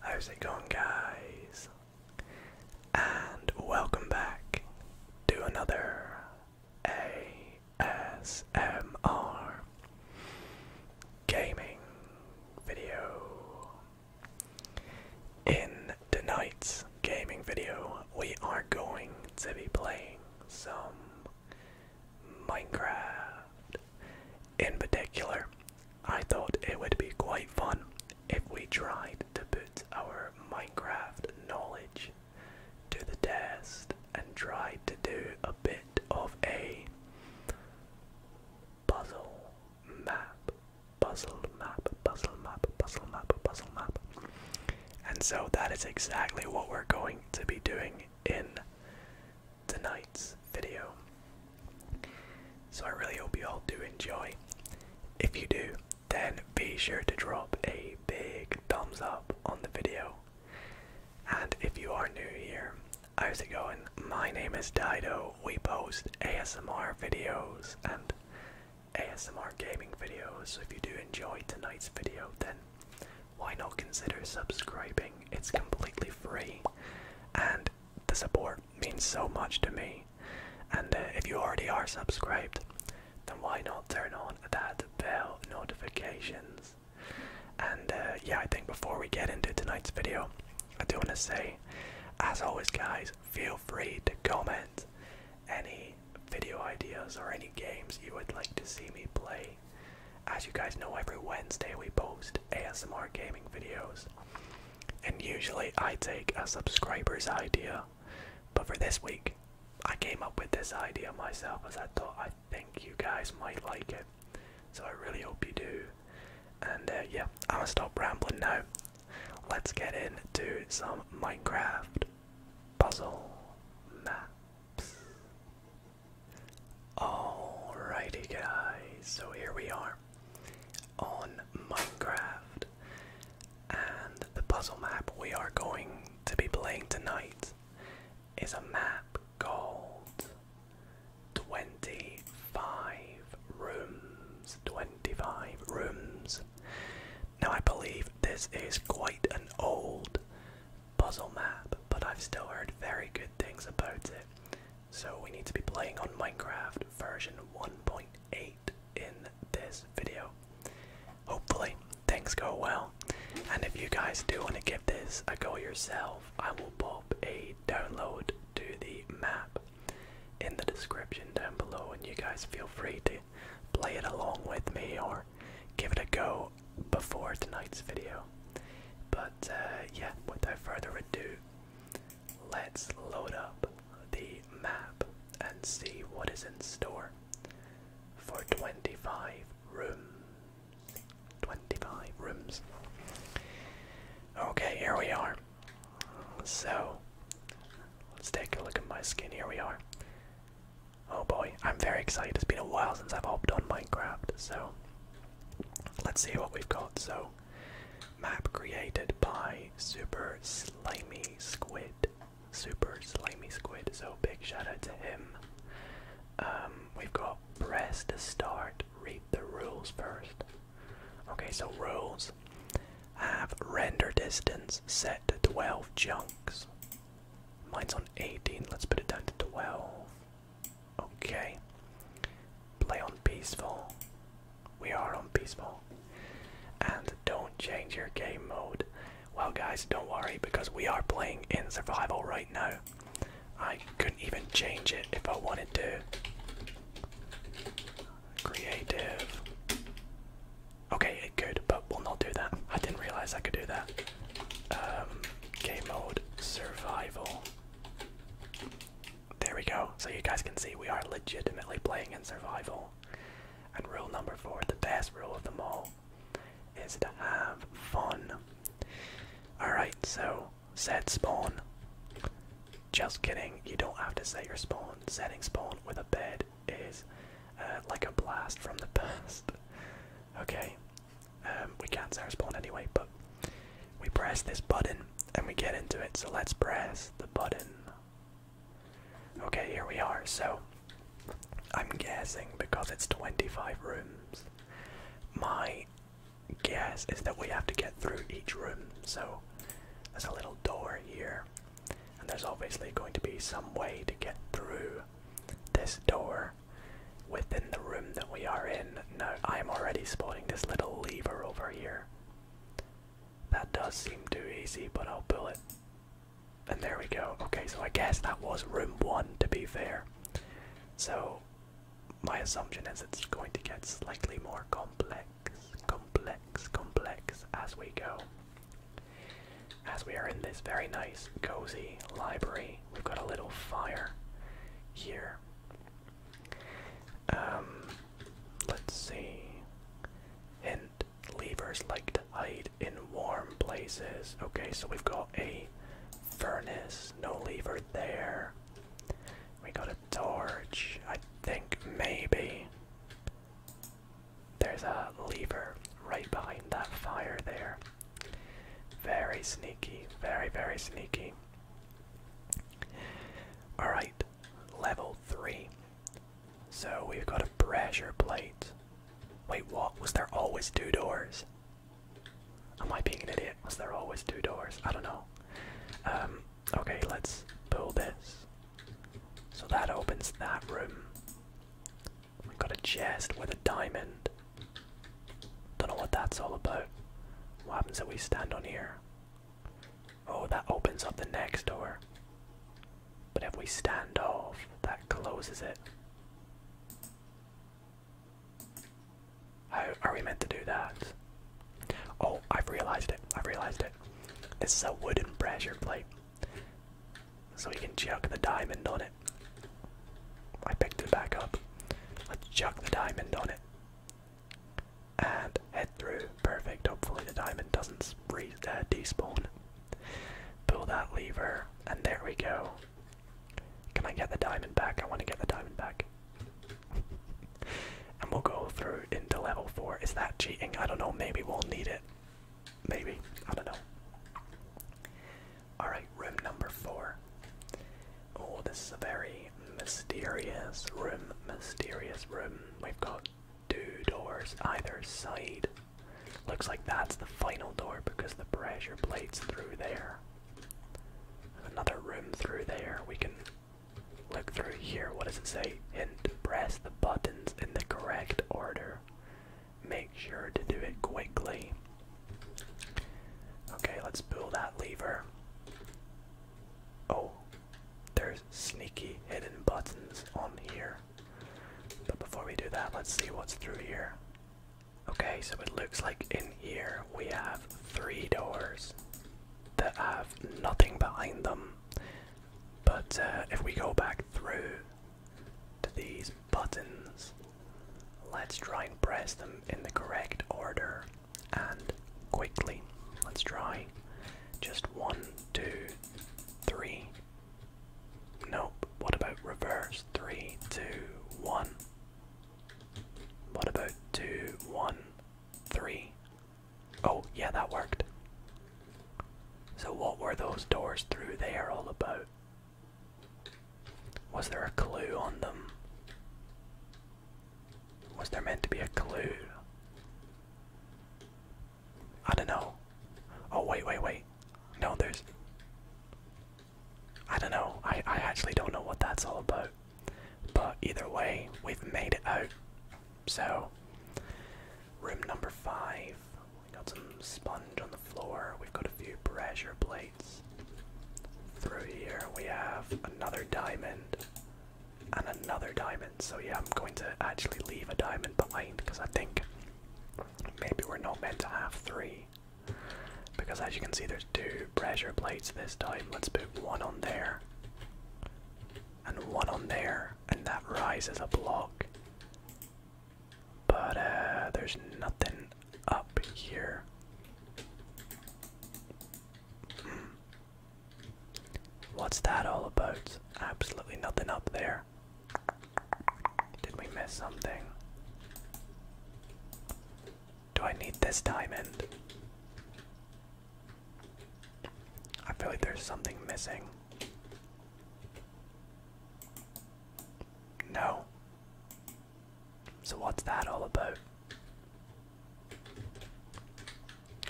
How's it going, guys? And welcome back to another ASMR gaming video. In tonight's gaming video, we are going to be playing some Minecraft. In particular, I thought it would be quite fun if we tried to put our Minecraft knowledge to the test and tried to do a bit of a puzzle map, puzzle map, puzzle map, puzzle map, puzzle map. And so that is exactly what we're going to be doing in tonight's video. So I really hope you all do enjoy. If you do, then be sure to drop a big thumbs up on the video. And if you are new here, how's it going? My name is Dido. We post ASMR videos and ASMR gaming videos. So if you do enjoy tonight's video, then why not consider subscribing? It's completely free and the support means so much to me. And uh, if you already are subscribed, then why not turn on that bell notifications? And uh, yeah, I think before we get into tonight's video, I do want to say, as always, guys, feel free to comment any video ideas or any games you would like to see me play. As you guys know, every Wednesday we post ASMR gaming videos. And usually I take a subscriber's idea. But for this week, I came up with this idea myself as I thought I think you guys might like it. So I really hope you do. And uh, yeah, I'm gonna stop rambling now. Let's get into some Minecraft puzzle maps. Alrighty, guys, so here we are on Minecraft. And the puzzle map we are going to be playing tonight is a map called 25 Rooms. 25 Rooms. Now, I believe this is quite an old puzzle map, but I've still heard very good things about it. So we need to be playing on Minecraft version 1.8 in this video. Hopefully things go well. And if you guys do want to give this a go yourself, I will pop a download to the map in the description down below and you guys feel free to play it along with me or give it a go before tonight's video. But but uh, yeah, without further ado, let's load up the map and see what is in store for 25 rooms. 25 rooms. Okay, here we are. So, let's take a look at my skin. Here we are. Oh boy, I'm very excited. It's been a while since I've hopped on Minecraft, so Let's see what we've got. So, map created by Super Slimy Squid. Super Slimy Squid. So, big shout out to him. Um, we've got press to start, read the rules first. Okay, so rules have render distance set to 12 chunks. Mine's on 18, let's put it down to 12. Okay. Play on peaceful. We are on peaceful. And don't change your game mode. Well, guys, don't worry because we are playing in survival right now. I couldn't even change it if I wanted to. Creative. Okay, it could, but we'll not do that. I didn't realize I could do that. Um, game mode, survival. There we go. So you guys can see we are legitimately playing in survival. And rule number four, the best rule of them all, is to have fun. Alright, so set spawn. Just kidding, you don't have to set your spawn. Setting spawn with a bed is uh, like a blast from the past. Okay, um, we can't Sarah anyway, but we press this button and we get into it. So let's press the button. Okay, here we are. So I'm guessing because it's 25 rooms, my guess is that we have to get through each room. So there's a little door here, and there's obviously going to be some way to get through this door within the room that we are in. No, I am already spotting this little lever over here. That does seem too easy, but I'll pull it. And there we go. Okay, so I guess that was room one to be fair. So my assumption is it's going to get slightly more complex, complex, complex as we go. As we are in this very nice, cozy library, we've got a little fire here. Um, let's see. And levers like to hide in warm places. Okay, so we've got a furnace, no lever there. We got a torch, I think maybe. There's a lever right behind that fire there. Very sneaky, very, very sneaky. Alright, level 3. So we've got a pressure plate. Wait, what? Was there always two doors? Am I being an idiot? Was there always two doors? I don't know. Um, okay, let's pull this. So that opens that room. We've got a chest with a diamond. Don't know what that's all about. What happens if we stand on here? Oh, that opens up the next door. But if we stand off, that closes it. How are we meant to do that? Oh, I've realized it. I've realized it. This is a wooden pressure plate. So we can chuck the diamond on it. I picked it back up. Let's chuck the diamond on it. And head through. Perfect. Hopefully the diamond doesn't re uh, despawn. Pull that lever, and there we go. Can I get the diamond back? I want to get the diamond back. and we'll go through into level 4. Is that cheating? I don't know. Maybe we'll need it. Maybe. I don't know. Alright, room number four. Oh, this is a very mysterious room. Mysterious room. We've got two doors either side. Looks like that's the final door because the pressure plate's through there. Another room through there. We can look through here. What does it say? Hint, press the buttons in the correct order. Make sure to do it quickly. Okay, let's pull that lever. Oh, there's sneaky hidden buttons on here. But before we do that, let's see what's through here. Okay, so it looks like in here we have three doors that have nothing behind them. But uh, if we go back through to these buttons, Let's try and press them in the correct order and quickly. Let's try. Just one, two, three. Nope. What about reverse? Three, two, one. What about two, one, three? Oh, yeah, that worked. So, what were those doors through there all about? Was there a clue on them? Was there meant to be a clue? I don't know. Oh wait, wait, wait. No, there's. I don't know. I I actually don't know what that's all about. But either way, we've made it out. So, room number five. We got some sponge on the floor. We've got a few pressure plates. Through here we have another diamond and another diamond. So yeah, I'm going to actually leave a diamond behind because I think maybe we're not meant to have three. Because as you can see there's two pressure plates this time. Let's put one on there and one on there and that rises a block. But uh, there's nothing up here. Hmm. What's that all about? Absolutely nothing up there. Did we miss something? Do I need this diamond? I feel like there's something missing. No. So, what's that all about?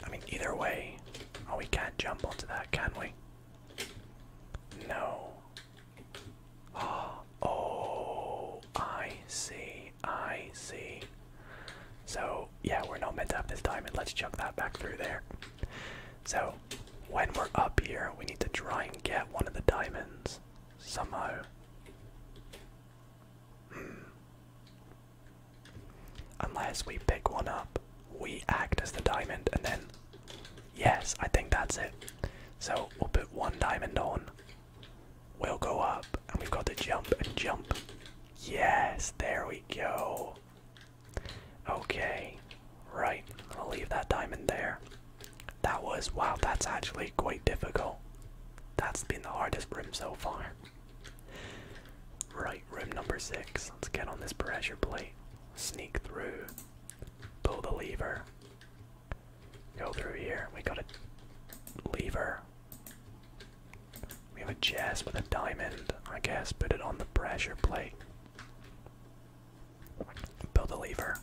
I mean, either way. Oh, we can't jump onto that, can we? No. Oh, oh, I see. I see. So, yeah, we're not meant to have this diamond. Let's chuck that back through there. So, when we're up here, we need to try and get one of the diamonds somehow. Unless we pick one up, we act as the diamond, and then. Yes, I think that's it. So we'll put one diamond on. We'll go up, and we've got to jump and jump. Yes, there we go. Okay, right, we will leave that diamond there. That was wow, that's actually quite difficult. That's been the hardest room so far. Right, room number six. Let's get on this pressure plate. Sneak through. Pull the lever. Go through here. We got a lever. We have a chest with a diamond. I guess put it on the pressure plate. Build a lever.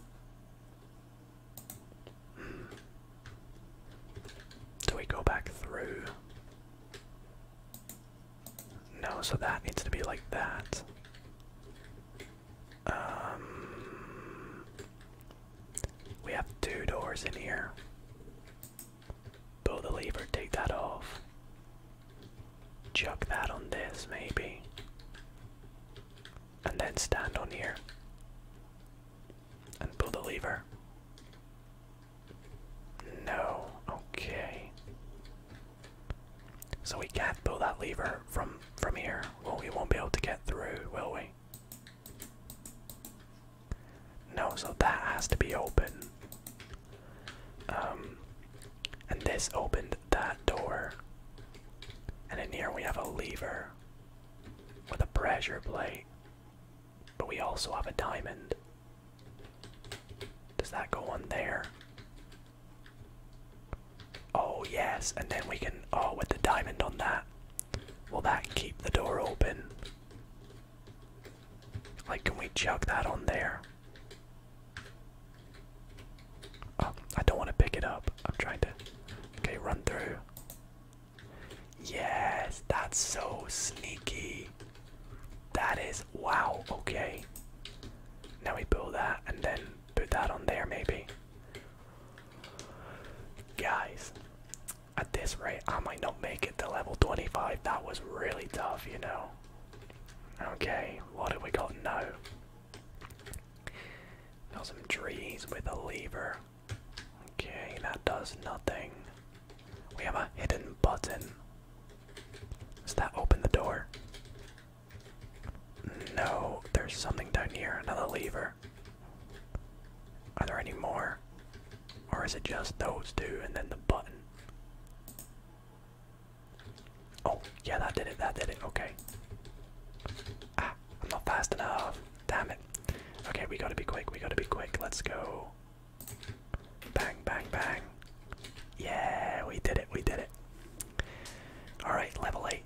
Do we go back through? No, so that needs to be like that. Um, we have two doors in here. Pull the lever, take that off. Chuck that on this, maybe. And then stand on here and pull the lever. No, okay. So we can't pull that lever from from here. Well, we won't be able to get through, will we? No, so that has to be open. Um, and this opened that door. And in here we have a lever with a pressure plate. But we also have a diamond. Does that go on there? Oh, yes, and then we can. Oh, with the diamond on that. Will that keep the door open? Like, can we chuck that on there? Oh, I don't want to pick it up. I'm trying to. Okay, run through. Yes, that's so sneaky. That is wow, okay. Now we build that and then put that on there maybe. Guys, at this rate I might not make it to level 25. That was really tough, you know. Okay, what have we got now? Got some trees with a lever. Okay, that does nothing. We have a hidden button. Does that open the door? No, there's something down here, another lever. Are there any more? Or is it just those two and then the button? Oh, yeah, that did it, that did it, okay. Ah, I'm not fast enough. Damn it. Okay, we gotta be quick. We gotta be quick. Let's go. Bang, bang, bang. Yeah, we did it. We did it. Alright, level 8.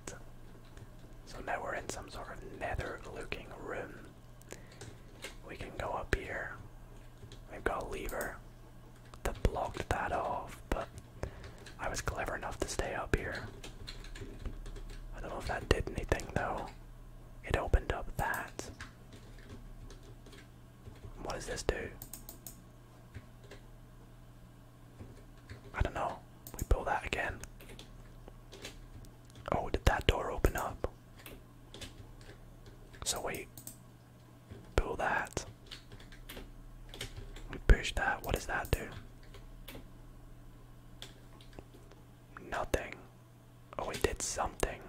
So now we're in some sort of nether looking room. We can go up here. We've got a lever that blocked that off, but I was clever enough to stay up here. I don't know if that did anything though. It opened up that. What does this do? I don't know. We pull that again. Oh, did that door open up? So wait. Pull that. We push that. What does that do? Nothing. Oh, we did something.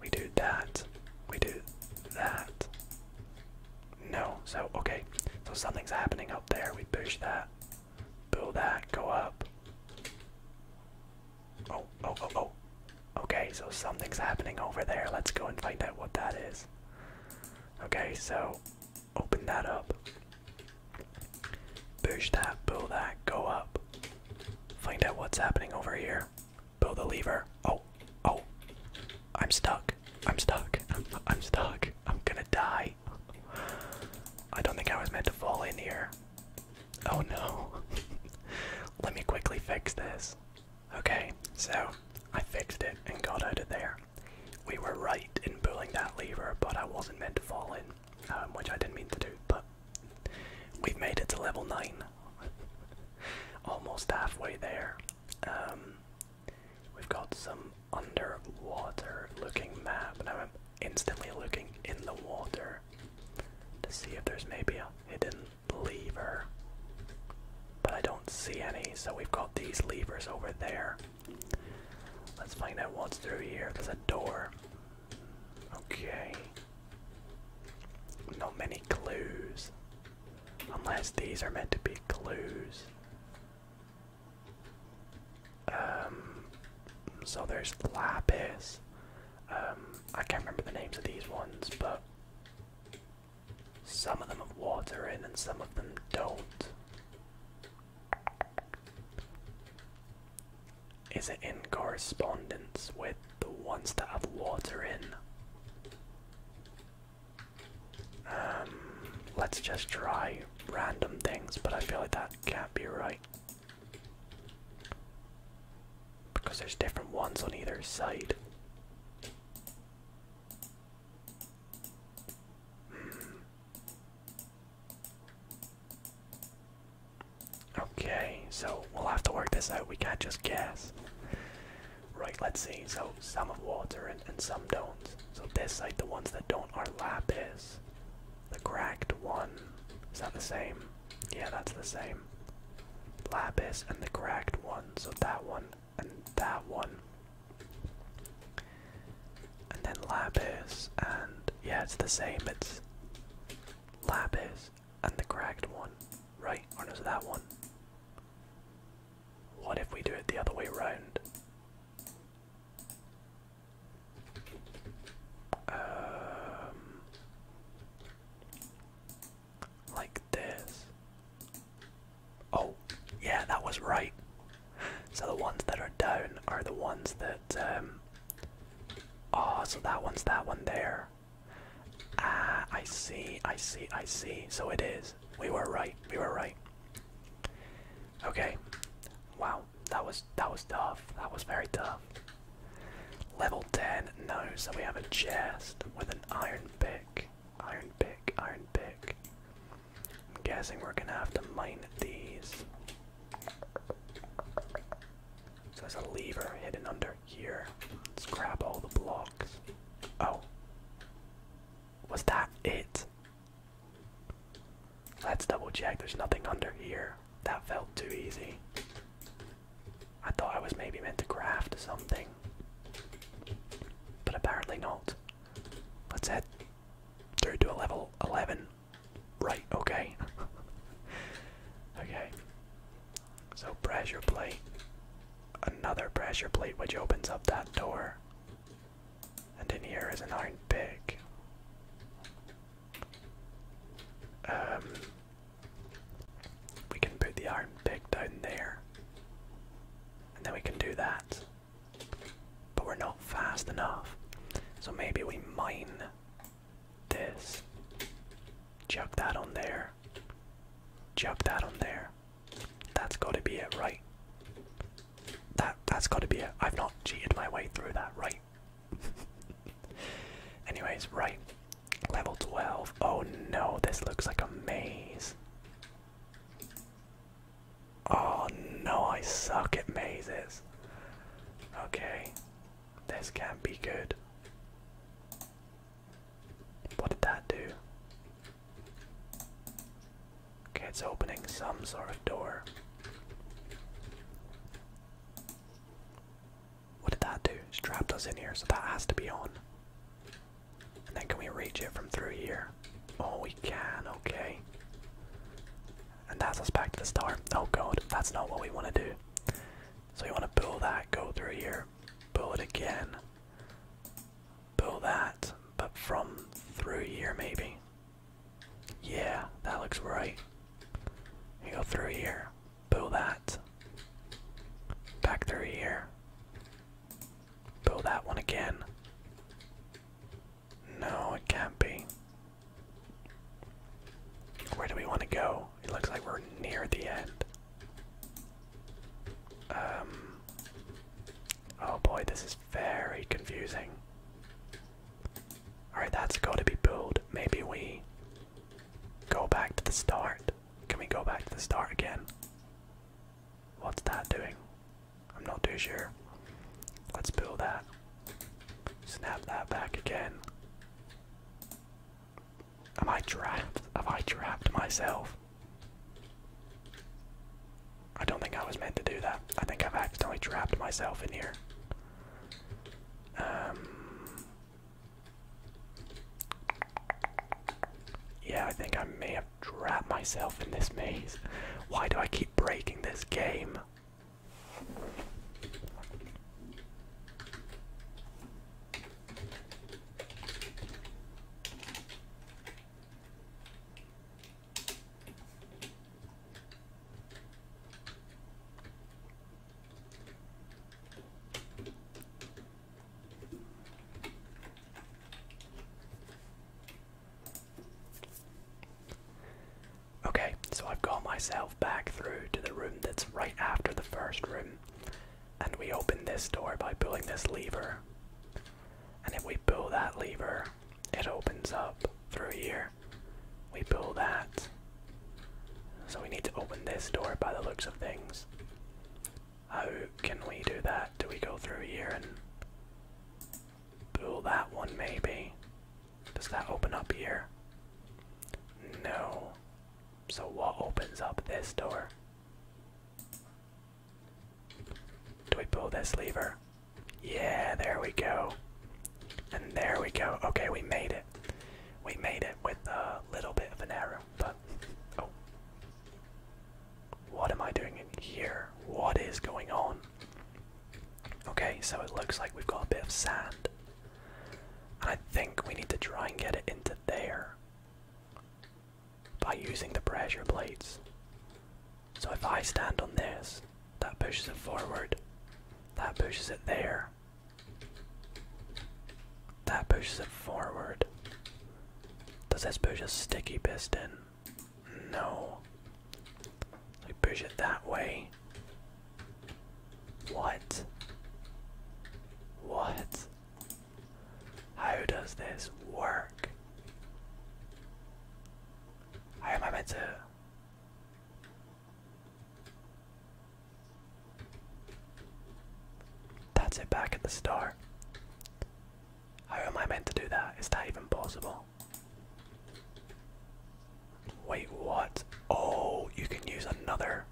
We do that. We do that. No. So, okay. So something's happening up there. We push that. Pull that. Go up. Oh, oh, oh, oh. Okay, so something's happening over there. Let's go and find out what that is. Okay, so Open that up. Push that, pull that, go up. Find out what's happening over here. Pull the lever. Oh, oh. I'm stuck. I'm stuck. I'm, I'm stuck. I'm gonna die. I don't think I was meant to fall in here. Oh no. Let me quickly fix this. Okay, so I fixed it and got out of there we were right in pulling that lever, but I wasn't meant to fall in, um, which I didn't mean to do. But we've made it to level nine, almost halfway there. Um, we've got some underwater-looking map, and I'm instantly looking in the water to see if there's maybe a hidden lever. But I don't see any, so we've got these levers over there. Let's find out what's through here. There's a door. Okay. No many clues. Unless these are meant to be clues. Um, so there's lapis. Um, I can't remember the names of these ones, but some of them have water in and some of them don't. Is it in correspondence with the ones that have water in? Um, let's just try random things, but I feel like that can't be right. Because there's different ones on either side. Okay, so we'll have to work this out. We can't just guess. Right, let's see. So some have water and, some don't. So this side, the ones that don't are lapis. The cracked one. Is that the same? Yeah, that's the same. Lapis and the cracked one. So that one and that one. And then Lapis, and yeah, it's the same. It's Lapis and the cracked one, right? Or oh, no, is that one? What if we do it the other way around? Um, like this. Oh, yeah, that was right. So the ones that are down are the ones that. Um, oh, so that one's that one there. Ah, I see, I see, I see. So it is. We were right. We were right. Okay. Wow, that was that was tough. That was very tough. Level 10, no, so we have a chest with an iron pick. Iron pick, iron pick. I'm guessing we're gonna have to mine these. So there's a lever hidden under here. Let's grab all the blocks. Oh. Was that it? Let's double check. There's nothing under here. That felt too easy. I thought I was maybe meant to craft something. But apparently not. Let's head through to a level 11. Right, okay. okay. So, pressure plate. Another pressure plate which opens up that door. And in here is an iron pick. Um, we can put the iron pick down there. And then we can do that. But we're not fast enough. So maybe we mine this. Chuck that on there. Chuck that on there. That's gotta be it, right? That that's gotta be it. I've not cheated my way through that, right? Anyways, right. Level 12. Oh no, this looks like a maze. Oh no, I suck at mazes. Okay, this can't be good. What did that do? Okay, it's opening some sort of door. What did that do? trapped us in here, so that has to be on then can we reach it from through here? Oh, we can, okay. And that's us back to the star. Oh god, that's not what we want to do. So we want to pull that, go through here, pull it again, pull that, but from through here maybe. Yeah, that looks right. You go through here, pull that, back through here, Go that one again. No, it can't be. Where do we want to go? It looks like we're near the end. Um. Oh boy, this is very confusing. Alright, that's got to be pulled. Maybe we go back to the start. Can we go back to the start again? What's that doing? I'm not too sure. Let's pull that. Snap that back again. Am I trapped? Have I trapped myself? I don't think I was meant to do that. I think I've accidentally trapped myself in here. Um, yeah, I think I may have trapped myself in this maze. Why do I keep breaking this game? Okay, so I've got myself back through to the room that's right after the first room. And we open this door by pulling this lever. And if we pull that lever, it opens up through here. We pull that. So we need to open this door by the looks of things. How can we do that? Do we go through here and pull that one maybe? Does that open up here? No. So what opens up this door? Do we pull this lever? Yeah, there we go. And there we go. Okay, we made it. We made it with a little bit of an error, but oh, what am I doing in here? What is going on? Okay, so it looks like we've got a bit of sand. I think we need to try and get it into there by using the pressure plates. So if I stand on this, that pushes it forward, that pushes it there, that pushes it forward. Does this push a sticky piston? No. I push it that way. What? What? How does this work? How am I meant to? That's it back at the start. How am I meant to do that? Is that even possible? Wait, what? Oh, you can use another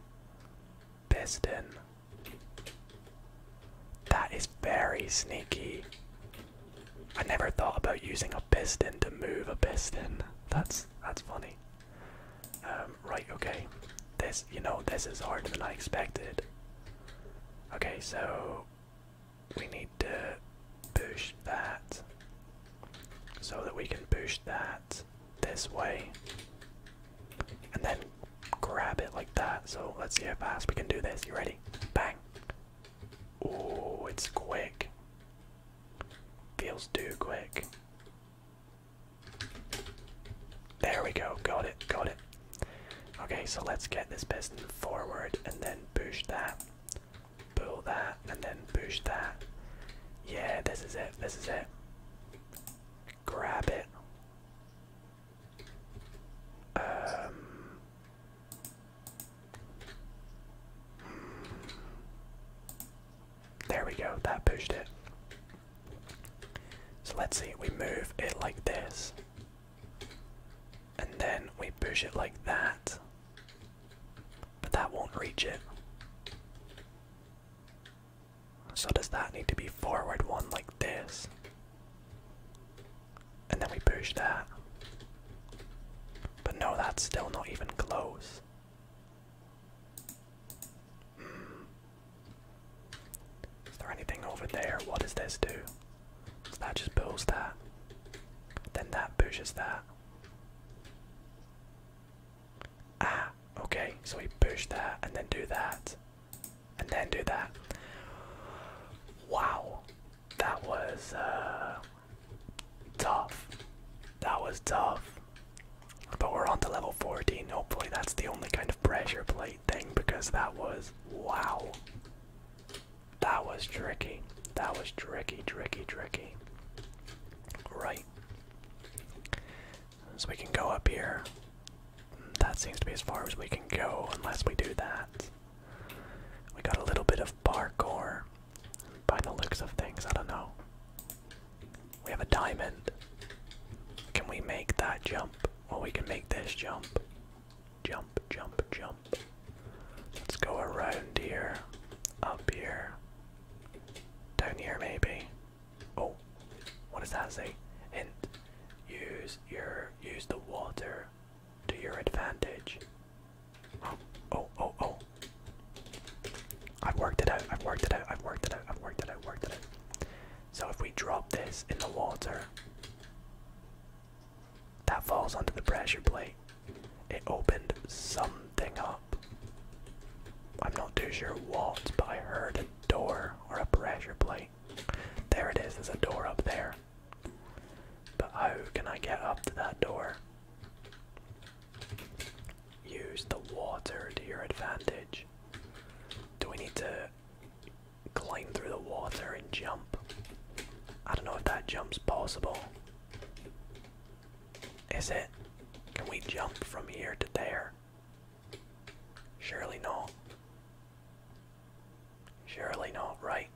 piston. That is very sneaky. I never thought about using a piston to move a piston. That's that's funny. Um, right, okay. This, you know, this is harder than I expected. Okay, so we need to push that so that we can push that this way and then grab it like that. So let's see how fast we can do this. You ready? Bang. Oh, it's quick. Feels too quick. There we go. Got it. Got it. Okay, so let's get this piston forward and then push that, pull that, and then push that. Yeah, this is it, this is it. Grab it. Um, there we go, that pushed it. So let's see, we move it like this. And then we push it like that. But that won't reach it. So does that need to be forward one like this? And then we push that. But no, that's still not even close. Hmm. Is there anything over there? What does this do? that just pulls that. Then that pushes that. Ah, okay, so we push that and then do that. And then do that. Wow, that was uh, tough. That was tough. But we're on to level 14. Hopefully, that's the only kind of pressure plate thing because that was wow. That was tricky. That was tricky, tricky, tricky. Right. So we can go up here. That seems to be as far as we can go unless we do that. We got a little bit of parkour by the looks of things. I don't know. We have a diamond. Can we make that jump? Well, we can make this jump. Jump, jump, jump. Let's go around here. Up here. Down here, maybe. Oh, what does that say? Hint. Use your use the water to your advantage. Oh, oh, oh, oh. I've worked it out. I've worked it out. I've worked it out. I've worked it out. Worked it out. So if we drop this in the water, that falls onto the pressure plate. It opened something up. I'm not too sure what, but I heard a door or a pressure plate. There it is, there's a door up there. But how can I get up to that door? Use the water to your advantage. Do we need to climb through the water and jump. I don't know if that jump's possible. Is it? Can we jump from here to there? Surely not. Surely not, right?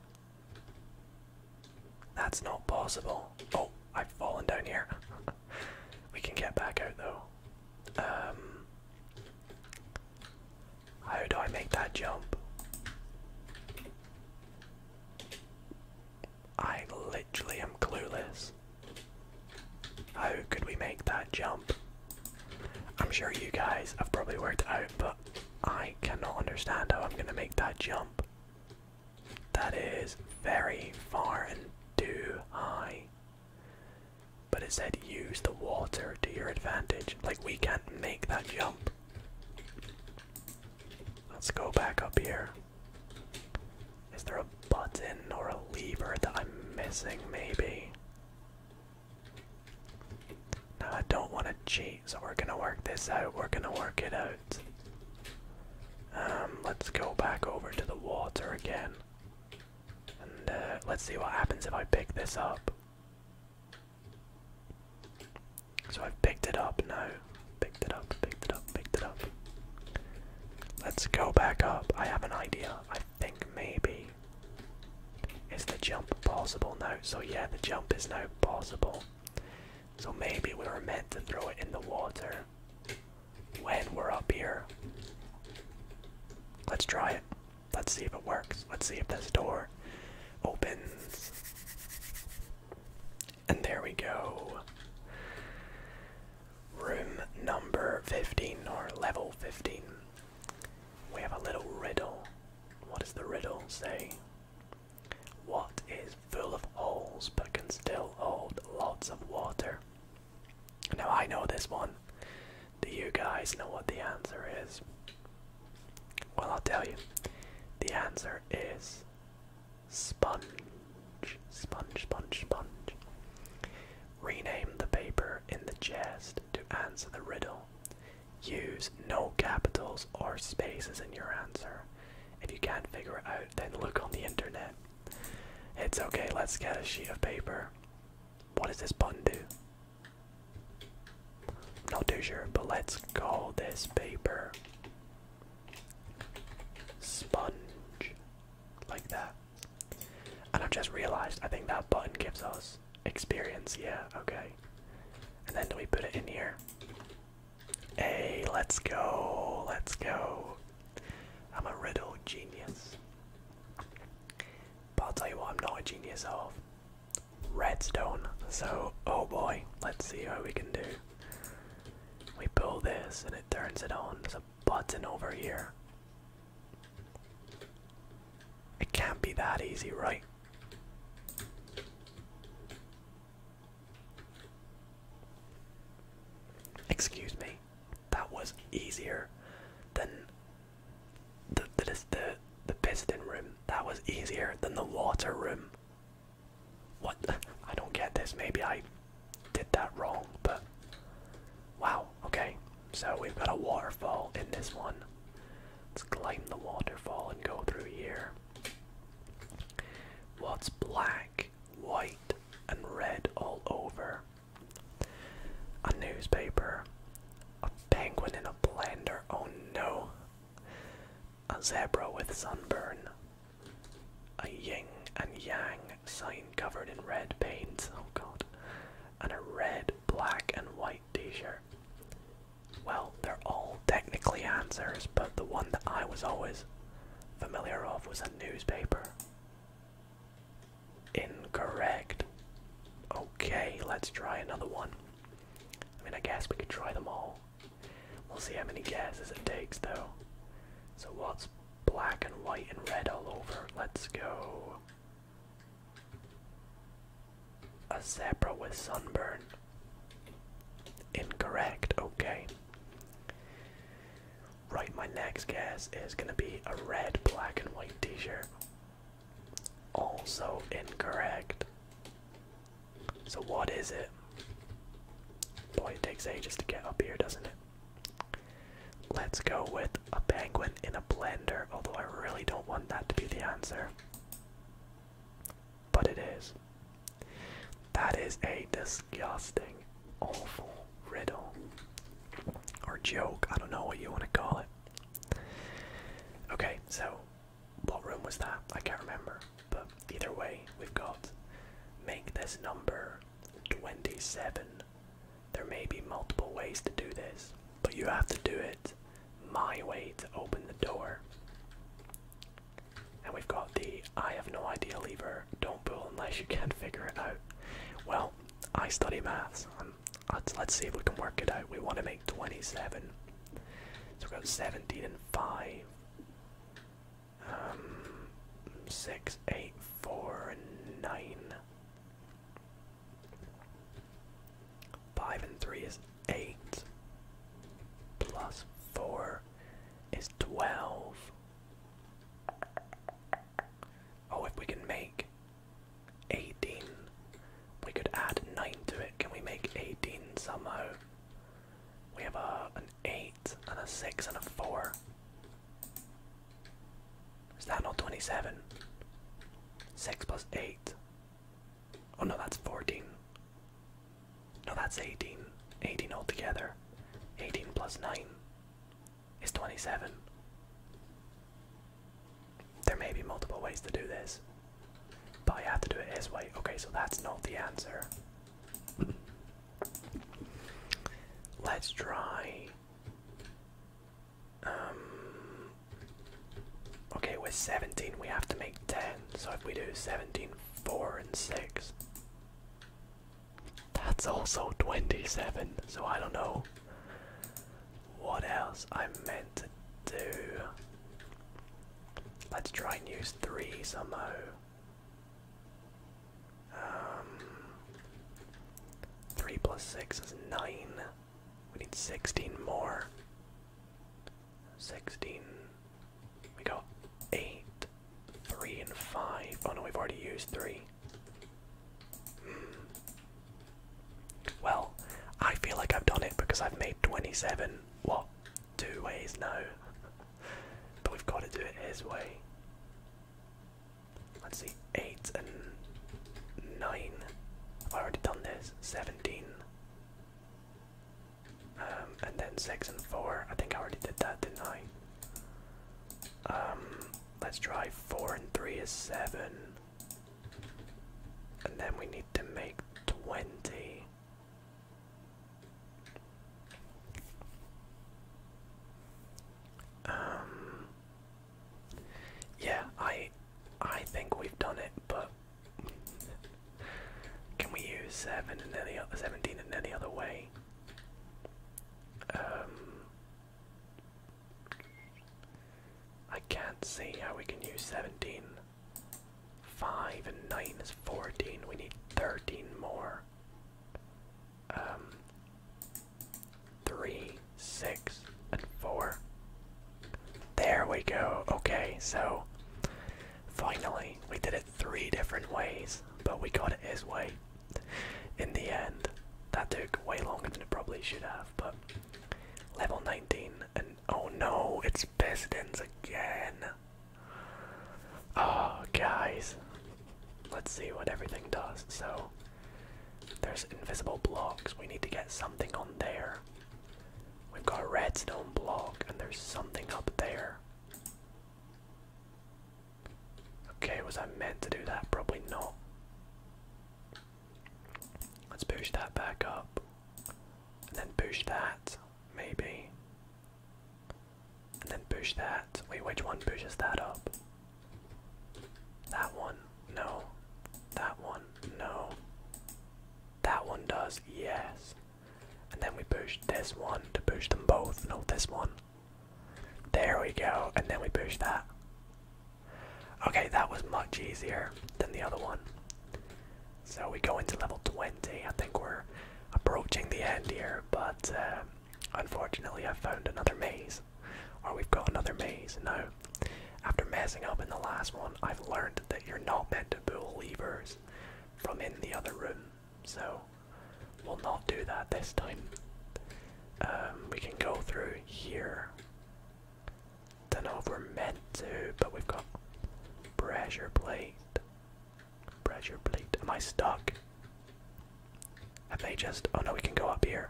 That's not possible. Oh, I've fallen down here. we can get back out though. Um, how do I make that jump? I literally am clueless. How could we make that jump? I'm sure you guys have probably worked out, but I cannot understand how I'm gonna make that jump. That is very far and too high but it said use the water to your advantage. Like, we can't make that jump. Let's go back up here. Is there a button or a lever that I'm missing, maybe? No, I don't want to cheat, so we're gonna work this out. We're gonna work it out. Um, let's go back over to the water again. And uh, let's see what happens if I pick this up. So I've picked it up now. Picked it up, picked it up, picked it up. Let's go back up. I have an idea. I think maybe. it's the jump possible now? So yeah, the jump is now possible. So maybe we were meant to throw it in the water when we're up here. Let's try it. Let's see if it works. Let's see if this door opens. And there we go. Room number 15 or level 15. We have a little riddle. What does the riddle say? What is full of holes but can still hold lots of water? Now I know this one. Do you guys know what the answer is? Well, I'll tell you. The answer is sponge. Sponge, sponge, sponge. Rename the paper in the chest to answer the riddle. Use no capitals or spaces in your answer. If you can't figure it out, then look on the internet. It's okay, let's get a sheet of paper. What does this button do? Not too sure, but let's call this paper sponge. Like that. And I've just realized I think that button gives us experience. Yeah, okay. And then do we put it in here? Hey, let's go, let's go. I'm a riddle genius. But I'll tell you what I'm not a genius of redstone. So, oh boy, let's see what we can do. We pull this and it turns it on. There's a button over here. It can't be that easy, right? Excuse me, that was easier than the the, the piston room that was easier than the water room. What? I don't get this. Maybe I did that wrong, but wow. Okay, so we've got a waterfall in this one. Let's climb the waterfall and go through here. What's black, white, and red all over? A newspaper, a penguin in a blender. Oh no. A zebra with sunburn. A ying and yang sign covered in red paint. Oh god. And a red, black, and white t shirt. Well, they're all technically answers, but the one that I was always familiar of was a newspaper. Incorrect. Okay, let's try another one. I mean, I guess we could try them all. We'll see how many guesses it takes, though. So, what's black and white and red all over? Let's go. A zebra with sunburn. Incorrect, okay. Right, my next guess is gonna be a red, black, and white t shirt. Also incorrect. So what is it? Boy, it takes ages to get up here, doesn't it? Let's go with a penguin in a blender, although I really don't want that to be the answer. But it is. That is a disgusting, awful riddle. Or joke, I don't know what you want to call it. Okay, so what room was that? I can't remember. But either way, we've got make this number 27. There may be multiple ways to do this, but you have to do it my way to open the door. And we've got the I have no idea lever. Don't pull unless you can figure it out. Well, I study maths let's see if we can work it out. We want to make 27. So we got 17 and 5. Um, 6, 8, 4, 9. 5 and 3 is 8. Plus 4 is 12. Oh, if we can make 18. We could add 9 to it. Can we make 18 somehow? We have a, an 8 and a 6 and a 4. Is that not 27? 6 plus 8. Oh no, that's 14. No, that's 18. 18 altogether. 18 plus 9 is 27. There may be multiple ways to do this, but I have to do it his way. Okay, so that's not the answer. Let's try. Um, okay, with 17 we have to make 10, so if we do 17, 4, and 6, that's also 27, so I don't know what else I meant to do. Let's try and use three somehow. Um, three plus six is nine. We need sixteen more. Sixteen. We got eight, three, and five. Oh no, we've already used three. Well, I feel like I've done it because I've made 27, what, two ways now. but we've got to do it his way. Let's see, 8 and 9. I've already done this. 17. Um, and then 6 and 4. I think I already did that, didn't I? Um, let's try 4 and 3 is 7. And then we need to make 20. Um Yeah, I I think we've done it, but can we use seven and then other seventeen in any other way? Um I can't see how we can use 17. 5 and 9 is 14. We need 13 more. Um, 3, 6, and 4. There we go. Okay, so finally we did it three different ways, but we got it his way. In the end, that took way longer than it probably should have, but Level 19, and oh no, it's Pistons again. Oh, guys. Let's see what everything does. So, there's invisible blocks. We need to get something on there. We've got a redstone block, and there's something up there. Okay, was I meant to do that? Probably not. Let's push that back up. And then push that, maybe. And then push that. Wait, which one pushes that up? That one. No. That one. No. That one does. Yes. And then we push this one to push them both. No, this one. There we go. And then we push that. Okay, that was much easier than the other one. So we go into level 20. I think we're approaching the end here, but uh, unfortunately, I found another maze. Or we've got another maze. No, after messing up in the last one, I've learned that you're not meant to pull levers from in the other room. So we'll not do that this time. Um, we can go through here. Don't know if we're meant to, but we've got pressure plate. Pressure plate. Am I stuck? Have they just. Oh no, we can go up here.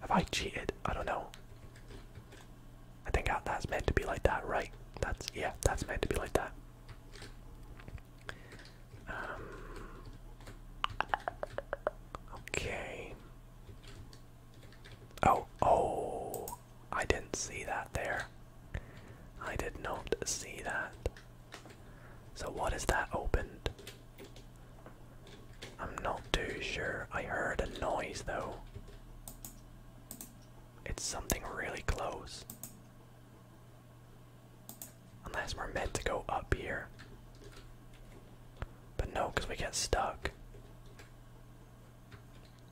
Have I cheated? I don't know. I think that's meant to be like that, right? That's. Yeah, that's meant to be like that. Um, okay. Oh, oh, I didn't see that there. I did not see that. So, what is that opened? I'm not too sure. I heard a noise though. It's something really close. Unless we're meant to go up here. But no, because we get stuck.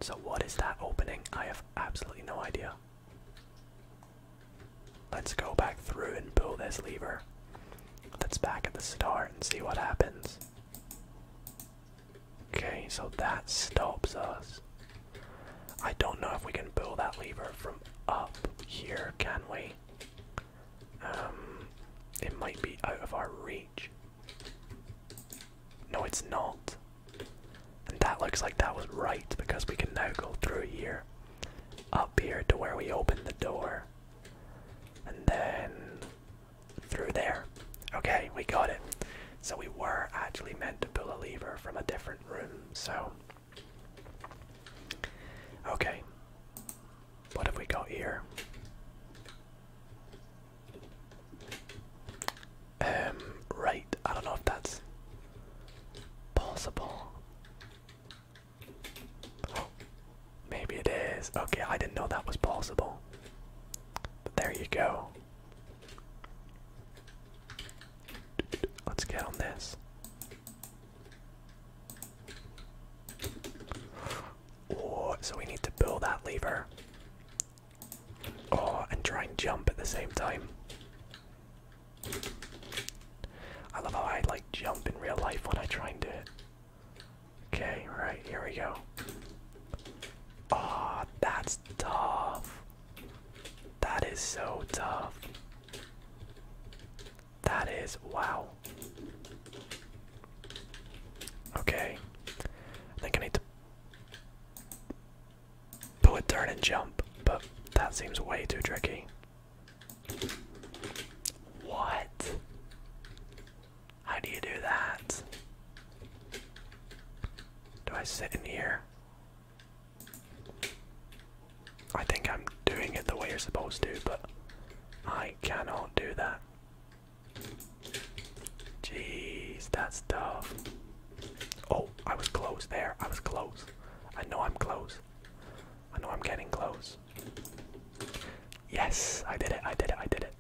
So, what is that opening? I have absolutely no idea. Let's go back through and pull this lever. Let's back at the start and see what happens. Okay, so that stops us. I don't know if we can pull that lever from up here, can we? Um, it might be out of our reach. No, it's not. And that looks like that was right because we can now go through here, up here to where we opened the door, and then through there. Okay, we got it. So we were actually meant to pull a lever from a different room, so Okay. What have we got here? Um, right. I don't know if that's possible. Oh, maybe it is. Okay, I didn't know that was possible. But there you go. Let's get on this. Oh, so we need to pull that lever. Oh, and try and jump at the same time. I love how I like jump in real life when I try and do it. Okay, right, here we go. Ah, that's tough. That is so tough. That is wow. Okay. I think I need to pull a turn and jump, but that seems way too tricky. What? How do you do that? Do I sit in here? I think I'm doing it the way you're supposed to, but I cannot do that. Jeez, that's tough. Oh, I was close there. I was close. I know I'm close. I know I'm getting close. Yes, I did it. I did it. I did it.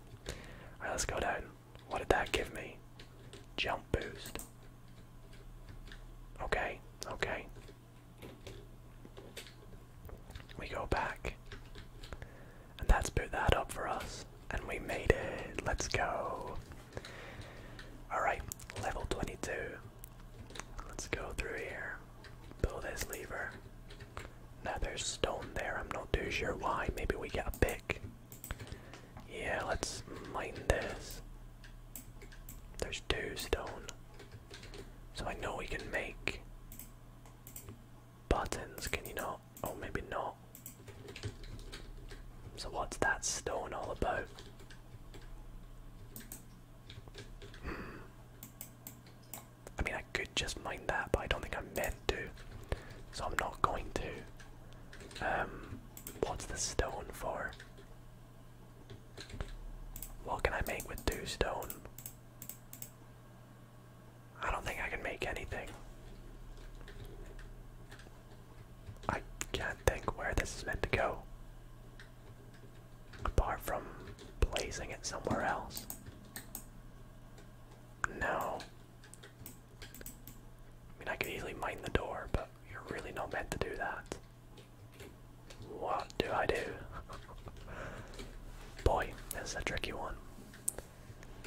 Alright, let's go down. What did that give me? Jump boost. Okay, okay. We go back. And that's put that up for us. And we made it. Let's go. Alright, level 22. Let's go through here. Pull this lever. Now there's stone there. I'm not too sure why. Maybe we get a pick. Yeah, let's mine this. There's two stone. So I know we can make buttons, can you not? Oh, maybe not. So what's that stone all about? Hmm. I mean, I could just mine that, but I don't think I'm meant to. So I'm not going to. Um, what's the stone for? What can I make with two stone? I don't think I can make anything. I can't think where this is meant to go. Apart from blazing it somewhere else. No. I mean, I could easily mine the door, but you're really not meant to do that. What do I do? Boy, this a tricky one.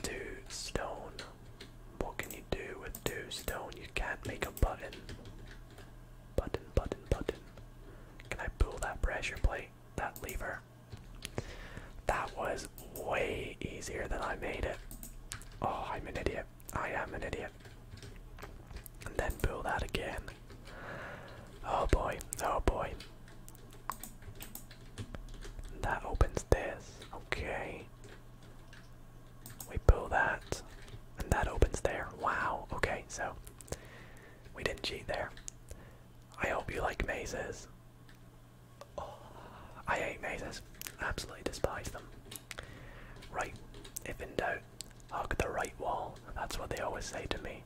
Two stone. What can you do with two stone? You can't make a button. Button, button, button. Can I pull that pressure plate? That lever? That was way easier than I made it. Oh, I'm an idiot. I am an idiot and then pull that again. Oh boy, oh boy. That opens this. Okay. We pull that, and that opens there. Wow, okay, so we didn't cheat there. I hope you like mazes. I hate mazes. Absolutely despise them. Right, if in doubt, hug the right wall. That's what they always say to me.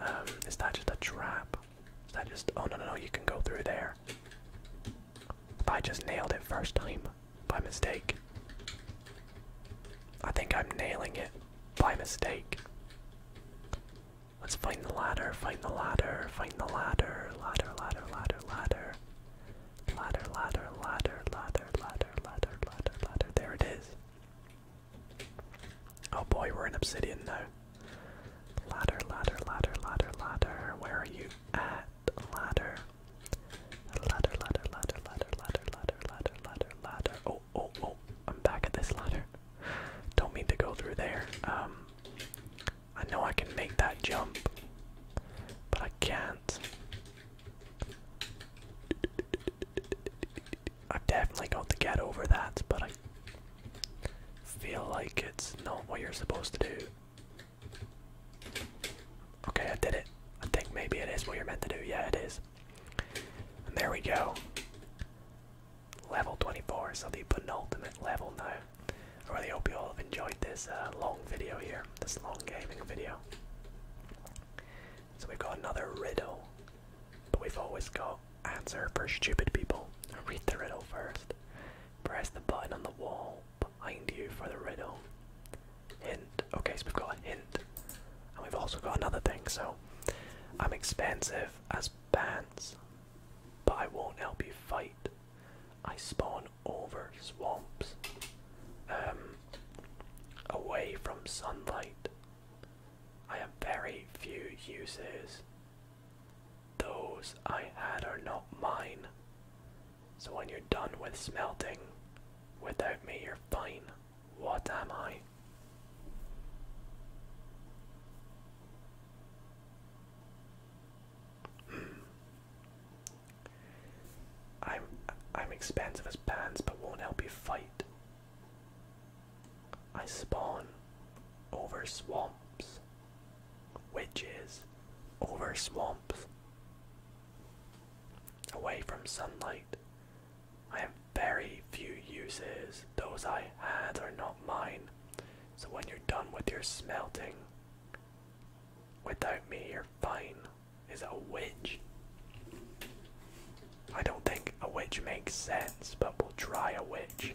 Um, is that just a trap? Is that just. Oh, no, no, no, you can go through there. But I just nailed it first time by mistake. I think I'm nailing it by mistake. Let's find the ladder, find the ladder, find the ladder, ladder. Ladder, ladder, ladder, ladder, ladder, ladder, ladder, ladder. There it is. Oh boy, we're in obsidian now. Ladder, ladder, ladder, ladder, ladder. Where are you at? Ladder. Ladder, ladder, ladder, ladder, ladder, ladder, ladder, ladder, ladder. Oh, oh, oh. I'm back at this ladder. Don't need to go through there. Um I know I can make that jump. But I can't. I've definitely got to get over that, but I feel like it's not what you're supposed to do. Okay, I did it. I think maybe it is what you're meant to do. Yeah, it is. And there we go. Level 24, so the penultimate level now. I really hope you all have enjoyed this uh, long video here, this long gaming video. So we've got another riddle, but we've always got answer for stupid people. Read the riddle first. Press the button on the wall behind you for the riddle. Hint. Okay, so we've got a hint. And we've also got another thing, so I'm expensive as pants, but I won't help you fight. I spawn over swamps. Um away from sunlight. I have very few uses. Those I had are not mine. So when you're done with smelting, without me you're fine. What am I? Hmm. I'm I'm expensive as pants but won't help you fight. I spawn over swamps. Witches over swamps. Away from sunlight. I have very few uses. Those I had are not mine. So when you're done with your smelting, without me, you're fine is a witch. I don't think a witch makes sense, but we'll try a witch.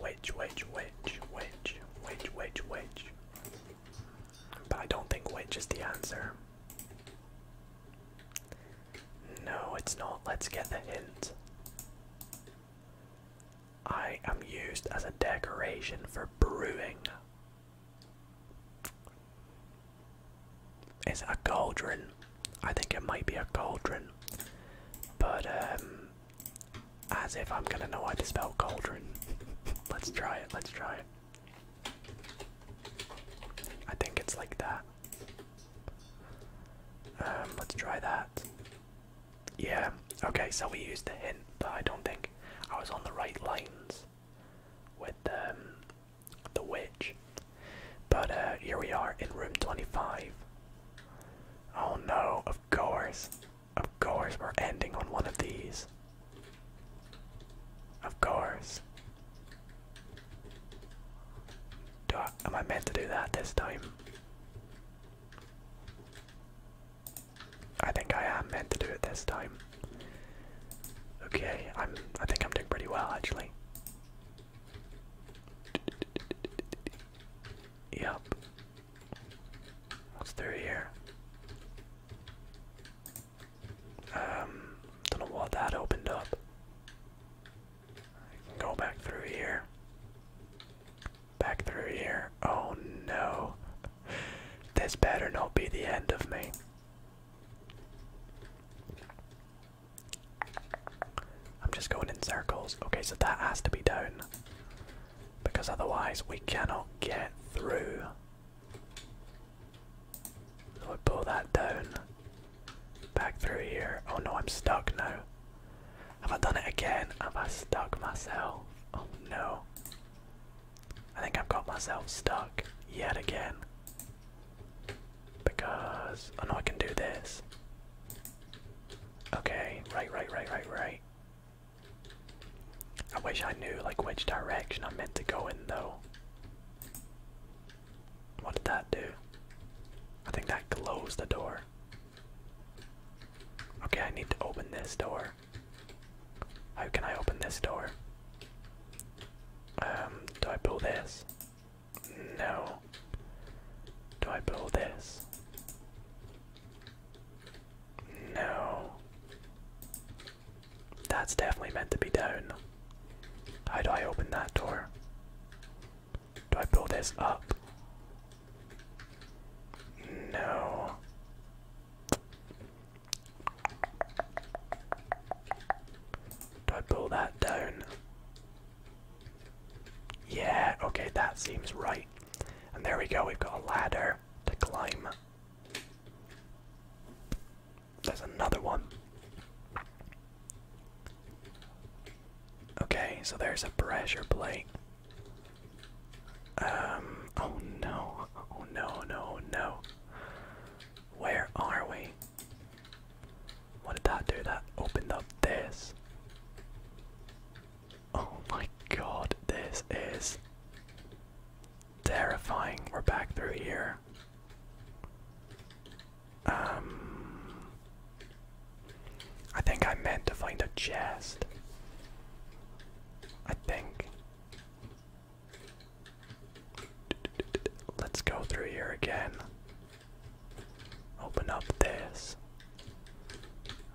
Witch, witch, witch, witch, witch, witch, witch. But I don't think witch is the answer. No, it's not. Let's get the hint. I am used as a decoration for brewing. It's a cauldron? I think it might be a cauldron. But, um, as if I'm gonna know how to spell cauldron. let's try it, let's try it. I think it's like that. Um, let's try that. Yeah, okay, so we used the hint, but I don't think I was on the right lines with um, the witch. But uh, here we are in room 25. Oh no, of course. Of course, we're ending on one of these. Of course. Do I, am I meant to do that this time? I think I am meant to do it this time. Okay, I'm I think I'm doing pretty well actually. Yep. What's through here? Um don't know what that opened up. I can go back through here. Back through here. Oh no. This better not be the end of me. I'm just going in circles. Okay, so that has to be down. Because otherwise we cannot get through. So we pull that down. Back through here. Oh no, I'm stuck now. Have I done it again? Have I stuck myself? Oh no. I think I've got myself stuck yet again. Because I oh, know I can do this. Okay, right, right, right, right, right. I wish I knew like which direction I meant to go in though. What did that do? I think that closed the door. Okay, I need to open this door. How can I open this door? Um, do I pull this? No. Do I pull this? No. That's definitely meant to be down. How do I open that door? Do I pull this up? No. Do I pull that down? Yeah, okay, that seems right. And there we go, we've got a ladder to climb. There's another one. Okay, so there's a pressure plate. Um, oh no, oh no, no, no. Where are we? What did that do? That opened up this. Oh my god, this is terrifying. We're back through here. Um, I think I meant to find a chest. I think. Let's go through here again. Open up this.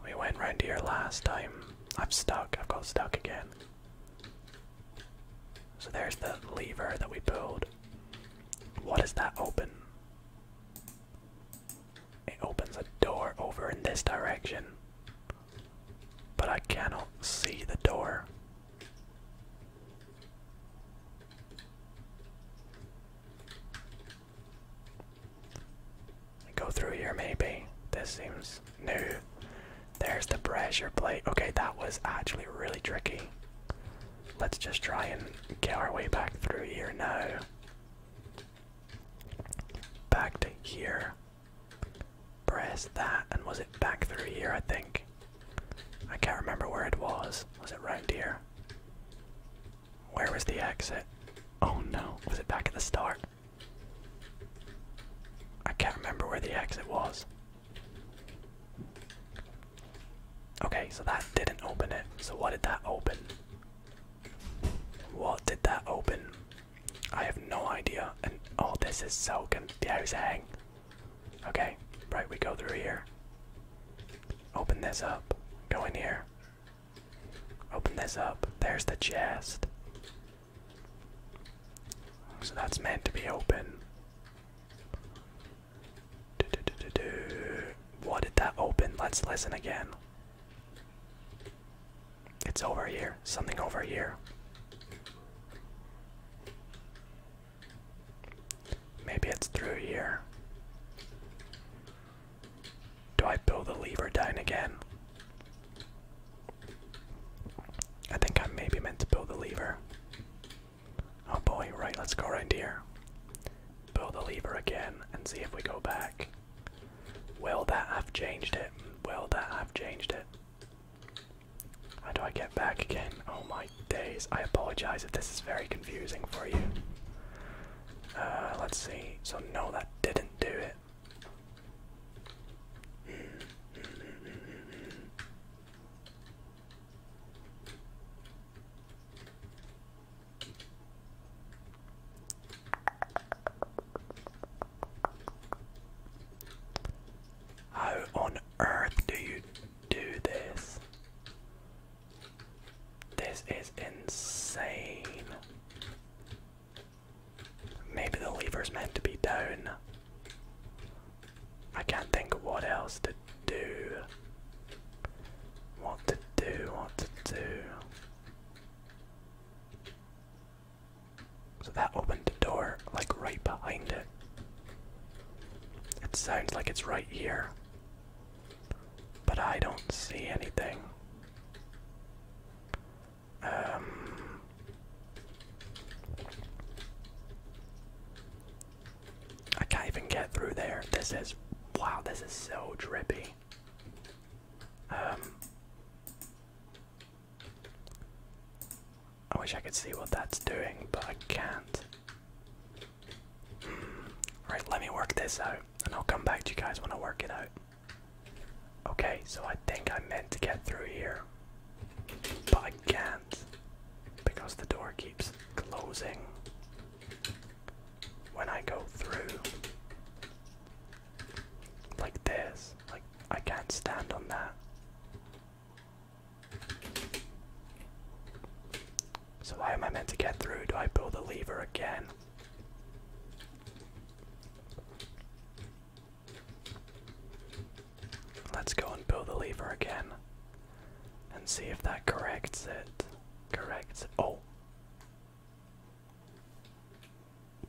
We went round here last time. I'm stuck. I've got stuck again. So there's the lever that we pulled. What is that open? It opens a door over in this direction. But I cannot see the door. Go through here, maybe. This seems new. There's the pressure plate. Okay, that was actually really tricky. Let's just try and get our way back through here now. Back to here. Press that, and was it back through here, I think? I can't remember where it was. Was it right here? Where was the exit? Oh no, was it back at the start? I can't remember where the exit was. Okay, so that didn't open it. So what did that open? What did that open? I have no idea. And oh, this is so confusing. Okay, right, we go through here. Open this up. Go in here. Open this up. There's the chest. So that's meant to be open. Do, do, do, do, do. What did that open? Let's listen again. It's over here. Something over here. Maybe it's through here. Do I pull the lever down again? I think I maybe meant to pull the lever. Oh boy, right, let's go around here. Pull the lever again and see if we go back. Well, that i have changed it? Well, that i have changed it? How do I get back again? Oh my days. I apologize if this is very confusing for you. Uh, let's see. So, no, that didn't do it. How on earth do you do this? This is insane. Maybe the lever is meant to be down. I can't think of what else to do. What to do, what to do. So that opened the door, like right behind it. It sounds like it's right here. But I don't see anything. Um. I can't even get through there. This is. Wow, this is so drippy. Um, I wish I could see what that's doing, but I can't. Hmm. right, let me work this out, and I'll come back to you guys when I work it out. Okay, so I think I meant to get through here, but I can't because the door keeps closing when I go through like this, like I can't stand on that. So why am I meant to get through? Do I pull the lever again? Let's go and pull the lever again and see if that corrects it. Corrects it. Oh.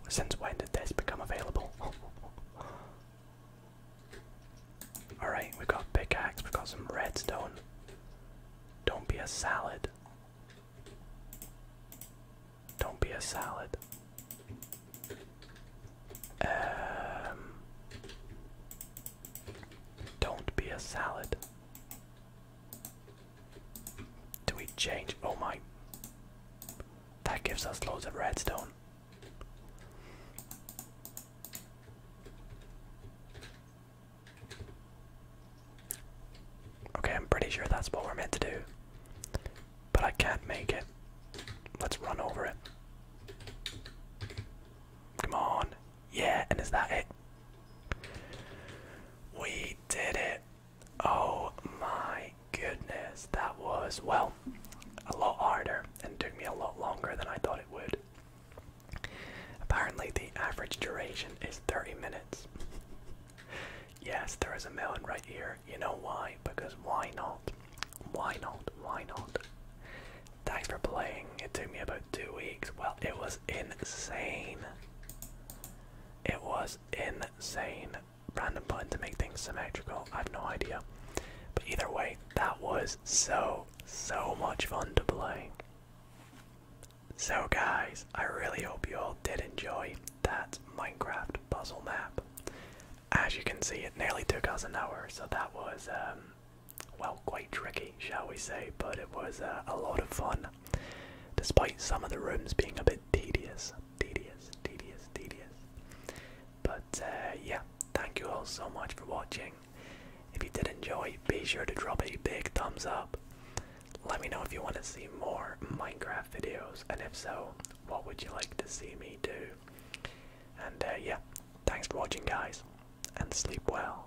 Since when did this become available? Alright, we got pickaxe, we got some redstone. Don't be a salad. Don't be a salad. Um, don't be a salad. Do we change? Oh my. That gives us loads of redstone. Okay, I'm pretty sure that's what we're meant to do. But I can't make it. Let's run over it. Come on. Yeah, and is that it? We did it. Oh my goodness. That was, well, a lot harder and took me a lot longer than I thought it would. Apparently, the average duration is 30 minutes. yes, there is a melon right here. You know why? Because why not? Why not? Why not? Thanks for playing. It took me about two weeks. Well, it was insane. It was insane. Random button to make things symmetrical. I have no idea. But either way, that was so, so much fun to play. So, guys, I really hope you all did enjoy that Minecraft puzzle map. As you can see, it nearly took us an hour, so that was, um, well, quite tricky, shall we say, but it was uh, a lot of fun despite some of the rooms being a bit tedious, tedious, tedious, tedious. But uh, yeah, thank you all so much for watching. If you did enjoy, be sure to drop a big thumbs up. Let me know if you want to see more Minecraft videos, and if so, what would you like to see me do? And uh, yeah, thanks for watching, guys, and sleep well.